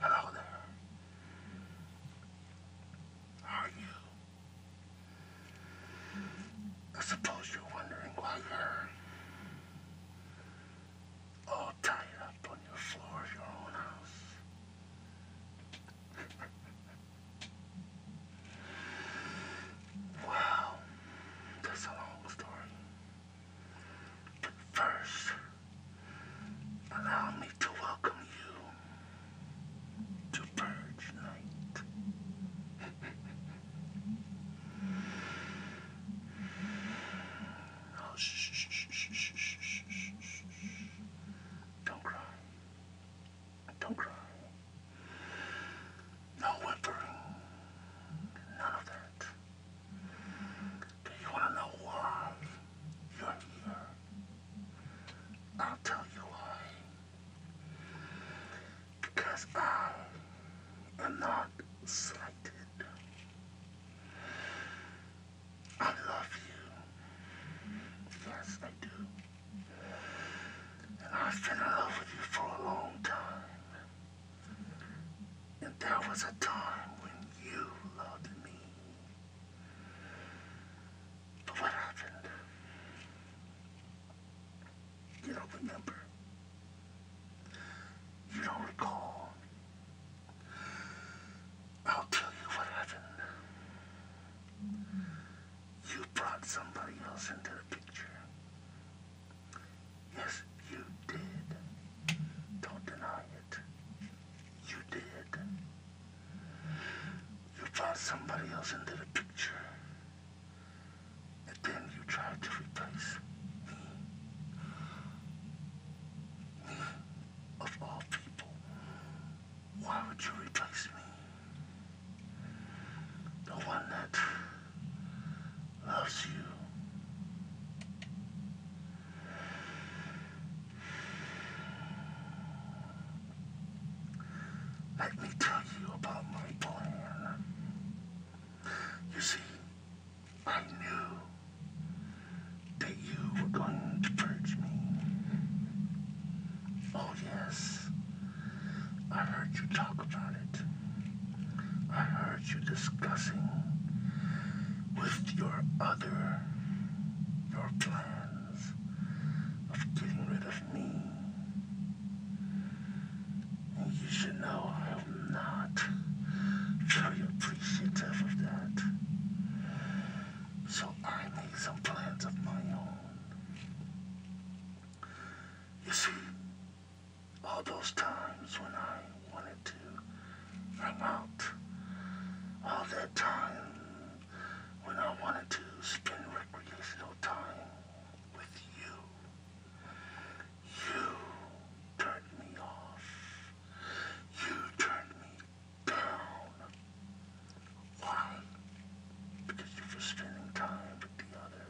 Hello there. are you? I suppose you're wondering why you're all tied up on your floor of your own house. Wow, that's a long story. first, allow me to welcome you to Purge Night. shh, shh, shh, shh, shh, shh, shh, shh. Don't cry. Don't cry. No whimpering. None of that. Do you want to know why you I'll tell you why. Because I am not slighted. I love you. Yes, I do. I've been in love with you for a long time. And there was a time when you loved me. But what happened? You don't remember. You don't recall. I'll tell you what happened. You brought somebody else into the picture. Yes, you did. Don't deny it. You did. You brought somebody else into the picture. And then you tried to replace me. Me, of all people. Why would you replace me? the one that loves you. Let me tell you about my plan. You see, I knew that you were going to purge me. Oh, yes. I heard you talk about it. I heard you discussing with your other your plans of getting rid of me. you should know I am not very appreciative of that. So I made some plans of my own. You see, all those times when I wanted to hang out, all that time when I wanted to spend recreational time with you, you turned me off. You turned me down. Why? Because you're just spending time with the other.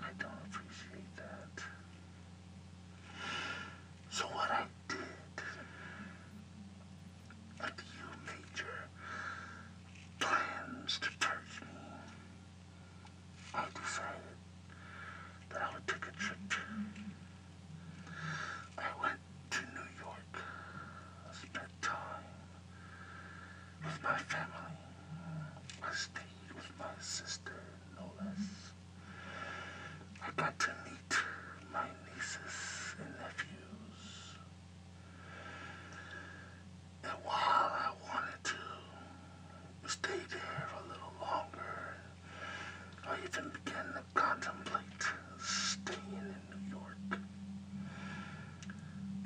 I don't appreciate that. So what I did after you made plans to purge me, I decided that I would take a trip. I went to New York, spent time with my family. I stayed with my sister, no less. I got to meet my nieces and nephews. And while I wanted to stay there a little longer, I even began to contemplate staying New York.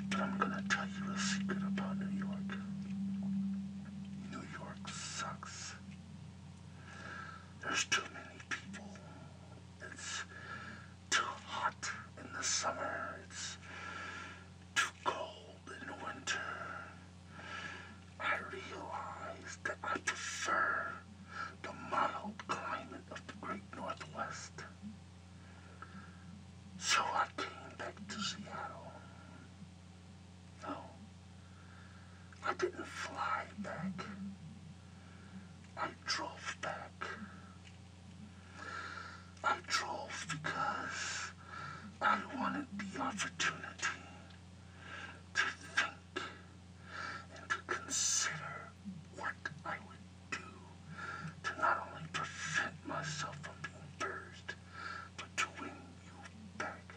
But I'm gonna tell you a secret about New York. New York sucks. There's too many people. It's too hot in the summer. It's too cold in the winter. I realize that I prefer the mild climate of the Great Northwest. So I came back to Seattle. No, I didn't fly back. I drove back. I drove because I wanted the opportunity to think and to consider what I would do to not only prevent myself from being purged, but to win you back.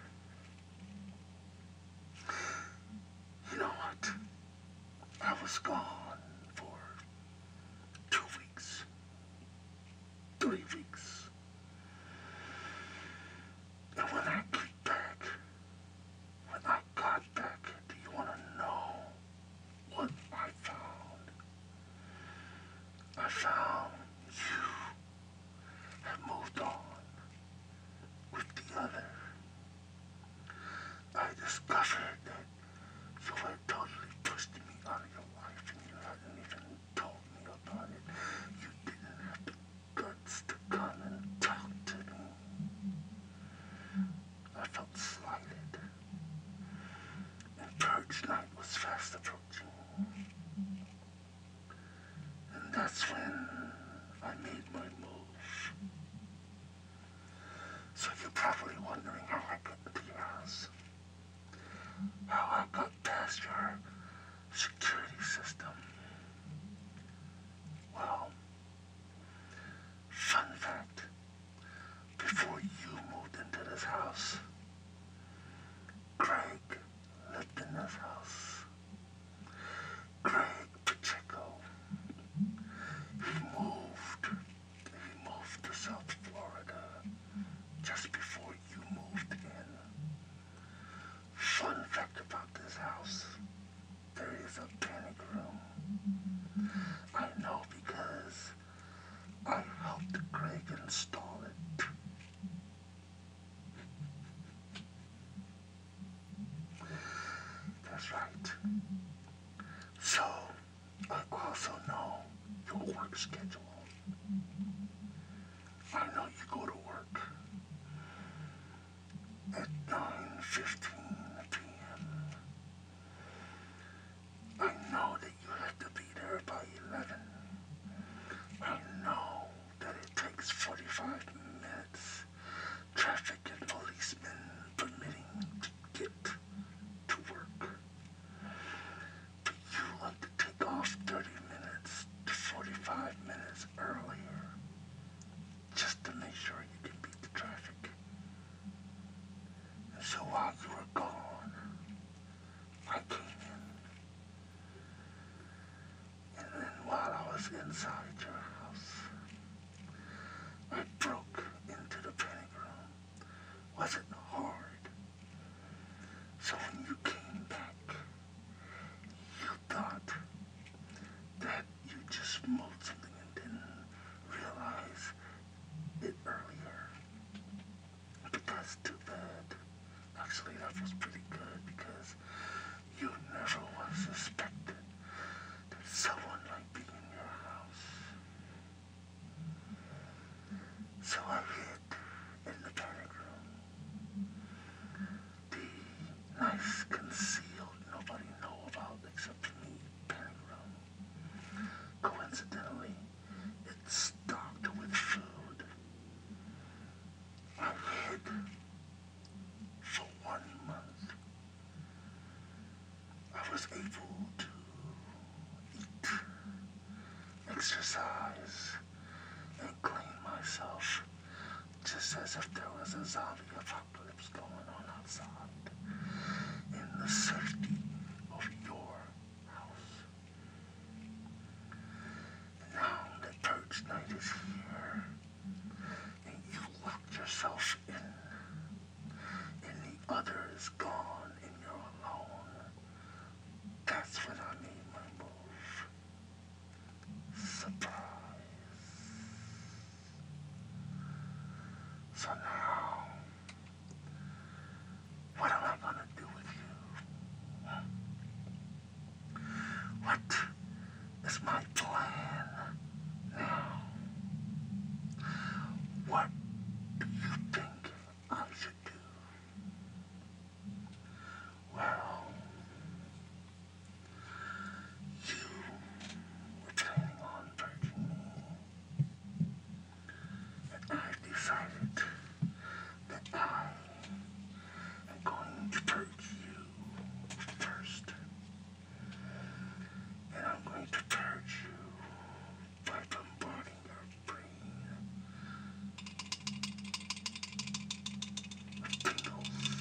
You know what? I was gone for two weeks, three weeks. And when I get back, when I got do you want to know what I found? I found you have moved on with the other. I discovered that you had totally twisted me out of your life and you hadn't even told me about it. You didn't have the guts to come and talk to me. I felt slighted and Purge Night was fast approaching. And that's when I made my move. So you're probably wondering how I got into your house. How I got past your security system. Well, fun fact, before you moved into this house. Craig lived in this house. Craig Pacheco. He moved. He moved to South Florida just before you moved in. Fun fact about this house, there is a panic I know because I helped Greg install it. That's right. So, I also know your work schedule. I know you go to work at 9.15 p.m. I know that you have to be there by 11. I know that it takes 45 minutes, traffic and policemen permitting to get to work. But you like to take off 30 minutes to 45 minutes earlier just to make sure you can beat the traffic. And so while you were gone, I came in. And then while I was inside your house, I broke into the panic room. was it hard. So when you came back, you thought that you just moved something and didn't realize it earlier because too bad. Actually, that was pretty good because you never was suspect that someone might be in your house. So I hid in the panic room. The nice concealed, nobody know about except me panic room. Coincidentally, it's stocked with food. I hid for one month. I was able to eat, exercise, and clean myself just as if there was a zombie apocalypse going on in the safety of your house. Now the purge night is here, and you locked yourself in, and the other is gone, and you're alone. That's when I made my move. Surprise. So now what am I going to do with you? What is my plan now? What do you think I should do? Well, you were planning on breaking me that I've decided that I am going to purge you first. And I'm going to purge you by bombarding your brain with tingles.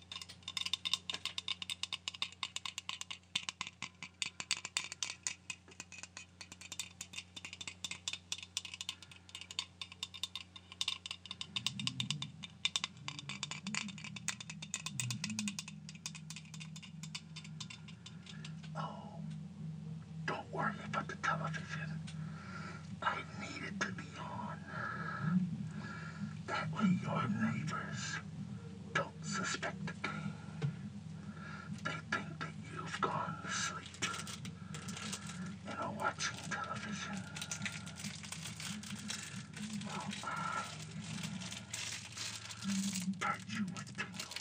Oh, don't worry about the television. I need it to be that way your neighbors don't suspect a thing. They think that you've gone to sleep and are watching television. Well, I you with tingles.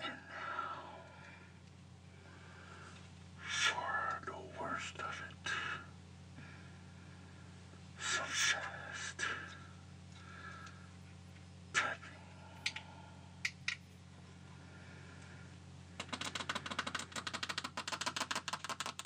And now for the worst of it. fast typing.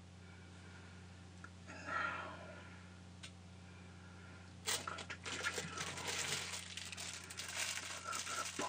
And now I'm going to give you a little bit of both. Now,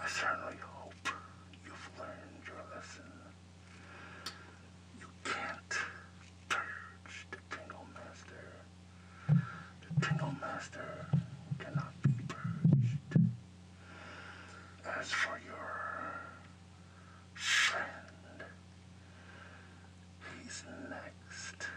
I certainly hope you've learned your lesson. You can't purge the Tingle Master. The Tingle Master cannot be purged. As for your friend, he's next.